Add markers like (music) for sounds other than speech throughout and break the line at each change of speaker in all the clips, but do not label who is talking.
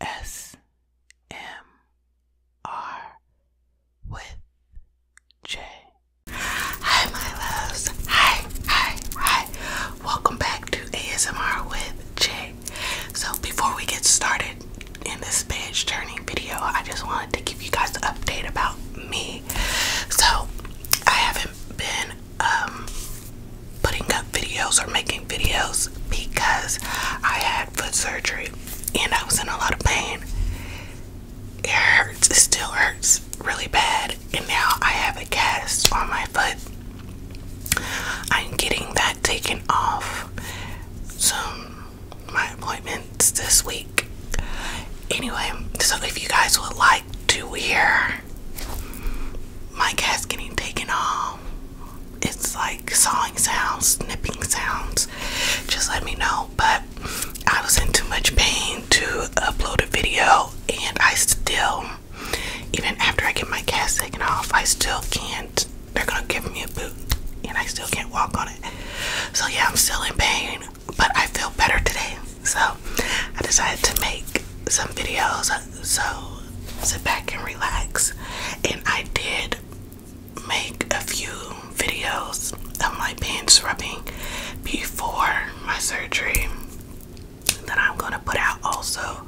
A S M R with J. Hi, my loves. Hi, hi, hi. Welcome back to ASMR with J. So, before we get started in this page turning video, I just wanted to give you guys an update about me. So, I haven't been um, putting up videos or making videos because I had foot surgery and I was in a lot of pain it hurts. It still hurts really bad. And now I have a cast on my foot. I'm getting that taken off. So, my appointments this week. Anyway, so if you guys would like to hear my cast getting taken off, it's like sawing sounds, nipping sounds, just let me know. But I was in too much pain to upload a video, and I still, even after I get my cast taken off, I still can't. They're gonna give me a boot, and I still can't walk on it. So, yeah, I'm still in pain, but I feel better today. So, I decided to make some videos. So, sit back and relax. And I did make a few videos of my pants rubbing before my surgery that I'm gonna put out also.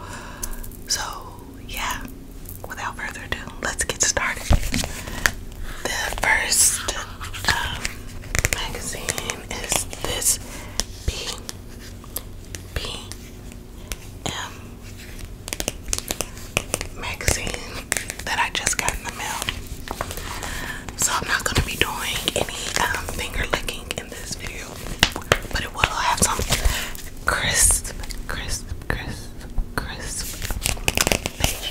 So, yeah, without further ado, let's get started. The first um, magazine is this B B M magazine that I just got in the mail. So I'm not gonna be doing any um, finger licking in this video, but it will have some crisp, crisp, crisp, crisp page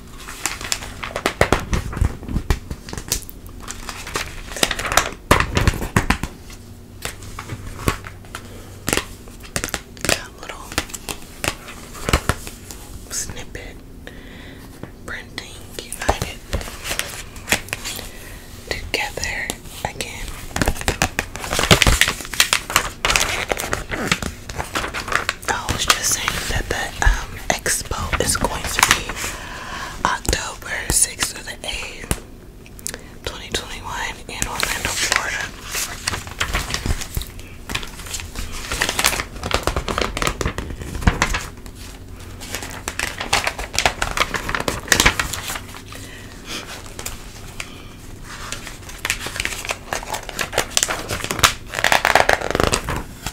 Got a little snippet printing united together again. I was just saying that the um, expo is going to be October 6th to the 8th, 2021 in Orlando, Florida.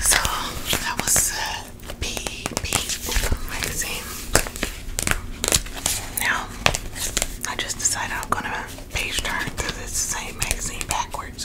So that was uh, P Magazine. Now I just decided I'm gonna page turn through this same magazine backwards.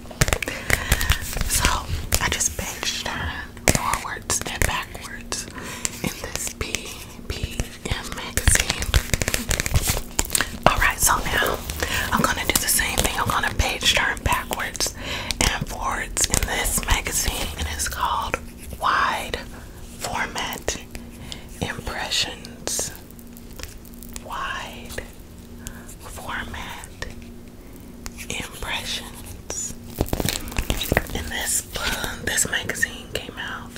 So I just benched her forwards and backwards in this BPM magazine. Alright, so now I'm gonna do the same thing. I'm gonna page turn backwards and forwards in this magazine, and it's called Wide Format Impressions wide format impressions. And this uh, this magazine came out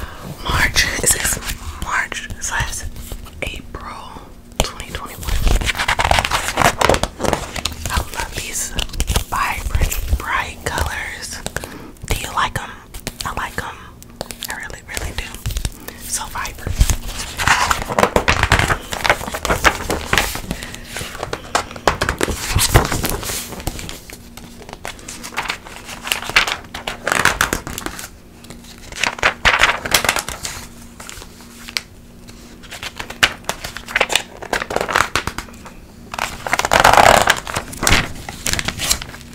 uh, March. Is this March slash April 2021? I love these vibrant, bright colors. Do you like them? I like them. I really really, really do. So vibrant.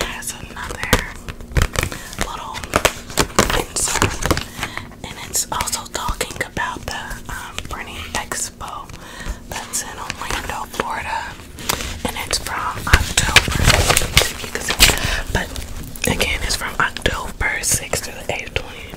Has another little insert, and it's also talking about the um, Expo that's in Orlando, Florida, and it's from October. But again, it's from October 6th to the 8th, 20.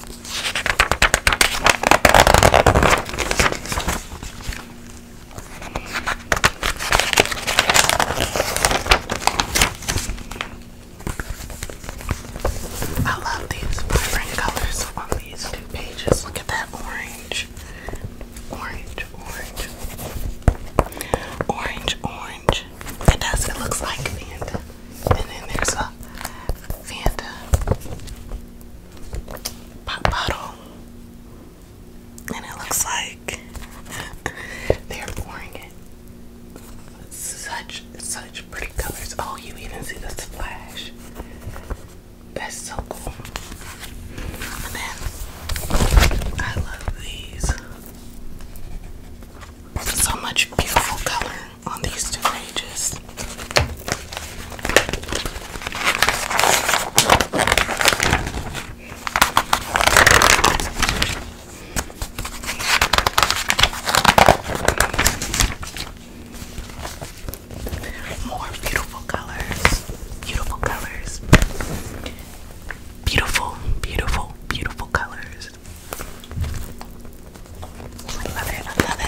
I love these vibrant colors on these two pages. Look at that orange, orange, orange, orange, orange. It does, it looks like Fanta. And then there's a Fanta pop bottle. And it looks like (laughs) they're pouring it. Such, such pretty colors. Oh, you even see the splash. That's so cool. And I love these. So much beautiful color on these two pages. More beautiful colors, beautiful colors, beautiful, beautiful, beautiful colors. I love it, I love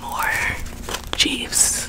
it. More Jeeves.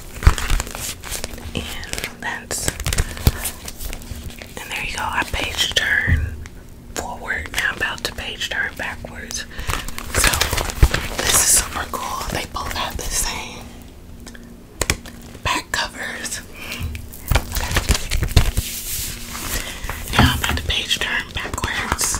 And that's and there you go. I page turn forward. Now I'm about to page turn backwards. So this is super cool. They both have the same back covers. Now I'm about to page turn backwards.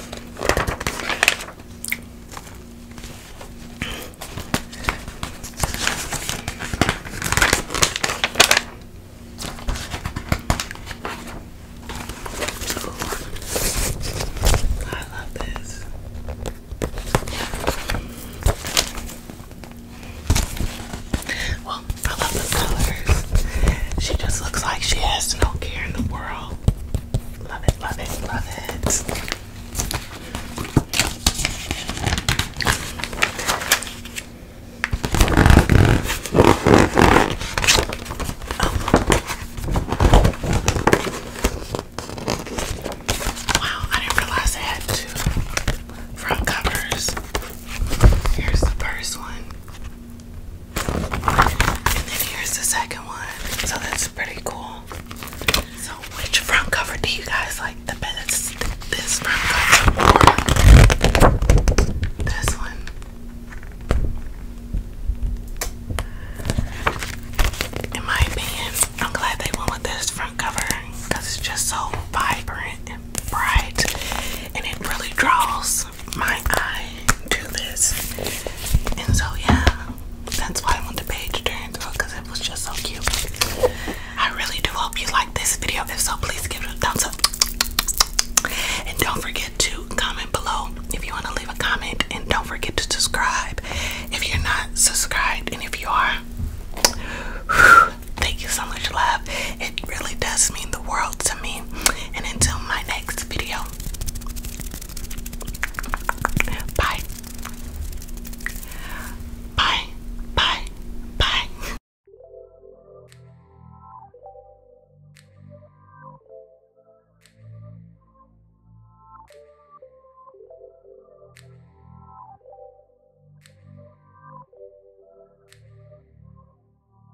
I love this. Well, I love the colors. She just looks like she has no care in the world. Love it, love it, love it. Wow, I didn't realize I had two front covers. Here's the first one. And then here's the second one. So that's pretty cool. So which front cover do you guys like the best? This front cover or this one? In my opinion, I'm glad they went with this front cover because it's just so vibrant and bright and it really draws my eye to this. And so, yeah, that's why when the page turned because it was just so cute. I really do hope you like this video. If so, please give it a thumbs up. And don't forget to comment below if you want to leave a comment. And don't forget to subscribe if you're not subscribed. And if you are, thank you so much, love. It really does mean the world to me. And until my next video. Bye. Bye. Bye. Bye.